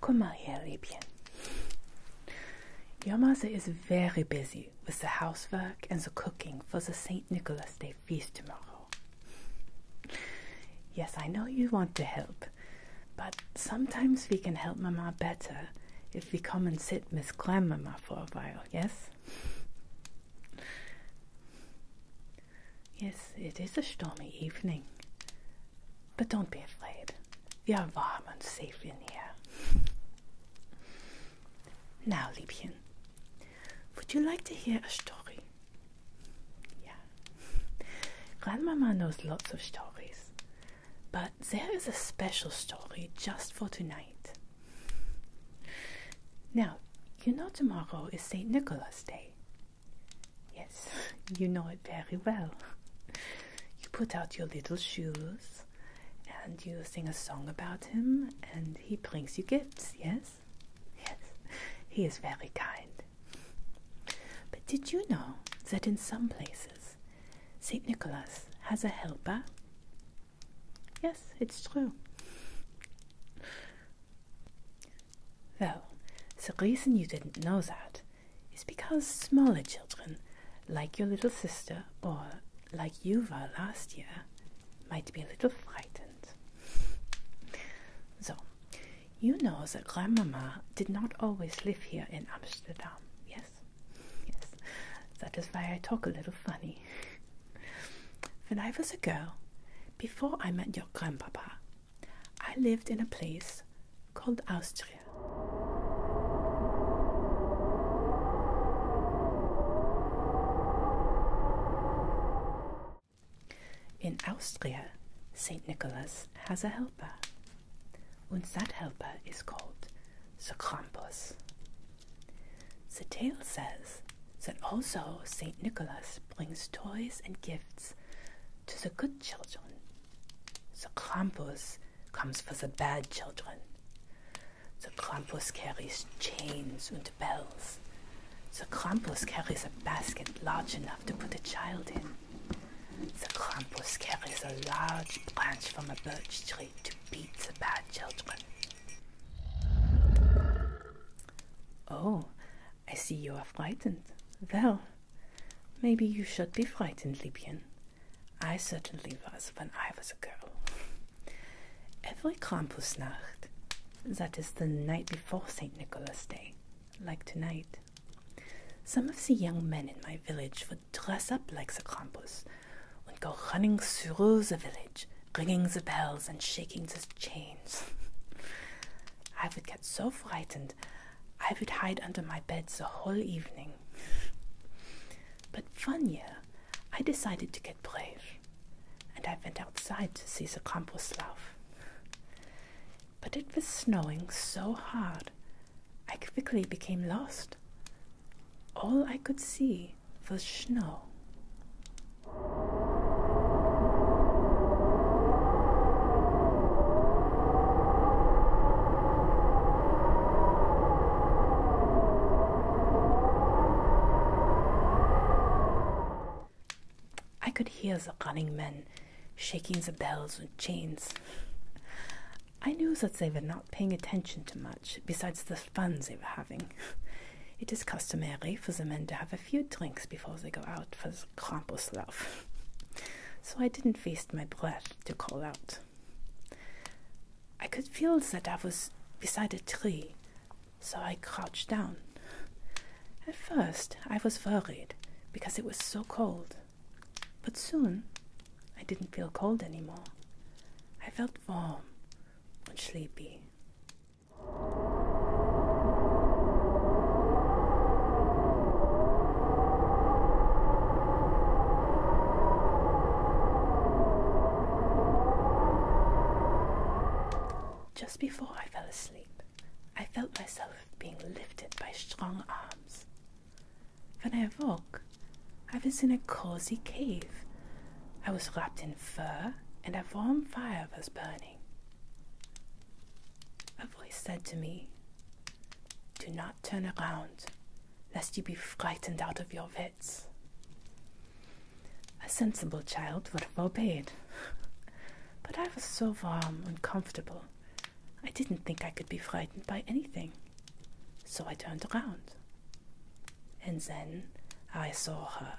Come mal Liebchen. Your mother is very busy with the housework and the cooking for the St. Nicholas Day feast tomorrow. Yes, I know you want to help, but sometimes we can help Mama better if we come and sit with Grandmama for a while, yes? Yes, it is a stormy evening, but don't be afraid. We are warm and safe in here. now, Liebchen, would you like to hear a story? Yeah. Grandmama knows lots of stories, but there is a special story just for tonight. Now, you know tomorrow is St. Nicholas Day, Yes, you know it very well. You put out your little shoes and you sing a song about him, and he brings you gifts, yes? Yes, he is very kind. But did you know that in some places St. Nicholas has a helper? Yes, it's true. Well, the reason you didn't know that is because smaller children, like your little sister or like you were last year, might be a little frightened. So, you know that Grandmama did not always live here in Amsterdam, yes? Yes, that is why I talk a little funny. when I was a girl, before I met your grandpapa, I lived in a place called Austria. In Austria, St. Nicholas has a helper, and that helper is called the Krampus. The tale says that also St. Nicholas brings toys and gifts to the good children. The Krampus comes for the bad children. The Krampus carries chains and bells. The Krampus carries a basket large enough to put a child in. The Krampus carries a large branch from a birch tree to beat the bad children. Oh, I see you are frightened. Well, maybe you should be frightened, Libyan. I certainly was when I was a girl. Every Krampusnacht, that is the night before St. Nicholas Day, like tonight, some of the young men in my village would dress up like the Krampus and go running through the village, ringing the bells and shaking the chains. I would get so frightened I would hide under my bed the whole evening. But one year I decided to get brave, and I went outside to see the Kampuslauf. But it was snowing so hard, I quickly became lost. All I could see was snow. I could hear the running men shaking the bells and chains. I knew that they were not paying attention to much besides the funs they were having. It is customary for the men to have a few drinks before they go out for the Krampuslauf so I didn't waste my breath to call out. I could feel that I was beside a tree, so I crouched down. At first, I was worried because it was so cold, but soon I didn't feel cold anymore. I felt warm and sleepy. Just before I fell asleep, I felt myself being lifted by strong arms. When I awoke, I was in a cozy cave. I was wrapped in fur and a warm fire was burning. A voice said to me, do not turn around, lest you be frightened out of your wits. A sensible child would have obeyed, but I was so warm and comfortable, I didn't think I could be frightened by anything. So I turned around, and then I saw her.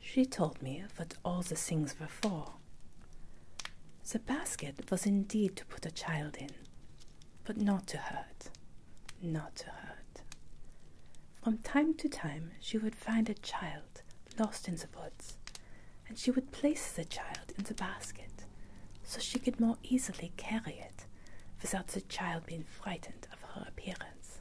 She told me what all the things were for. The basket was indeed to put a child in, but not to hurt, not to hurt. From time to time she would find a child lost in the woods, and she would place the child in the basket so she could more easily carry it without the child being frightened of her appearance.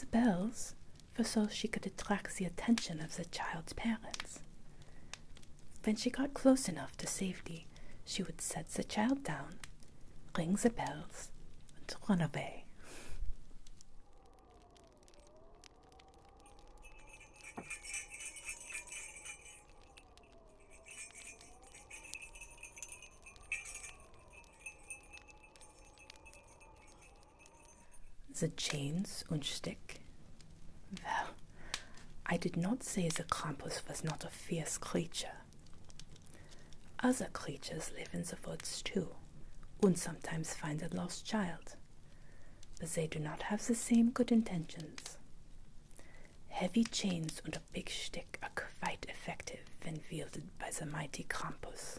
The bells, for so she could attract the attention of the child's parents. When she got close enough to safety, she would set the child down Ring the bells, and run away. The chains and stick. Well, I did not say the Krampus was not a fierce creature. Other creatures live in the woods too, and sometimes find a lost child, but they do not have the same good intentions. Heavy chains and a big stick are quite effective when wielded by the mighty Krampus.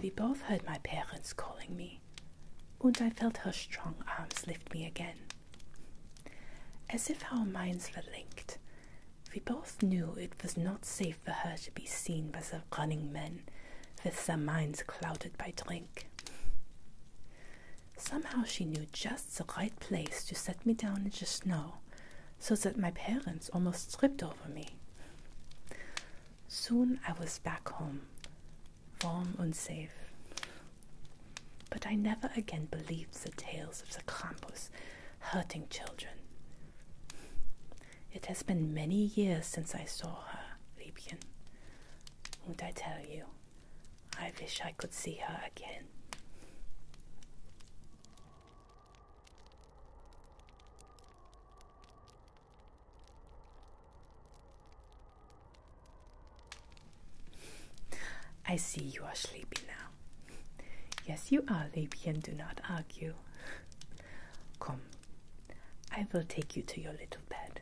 We both heard my parents calling me, and I felt her strong arms lift me again. As if our minds were linked, we both knew it was not safe for her to be seen by the running men with their minds clouded by drink. Somehow she knew just the right place to set me down in the snow so that my parents almost tripped over me. Soon I was back home, warm and safe. But I never again believed the tales of the Krampus hurting children. It has been many years since I saw her, Liebchen. Won't I tell you, I wish I could see her again. I see you are sleepy now. Yes, you are, Libby, and do not argue. Come, I will take you to your little bed.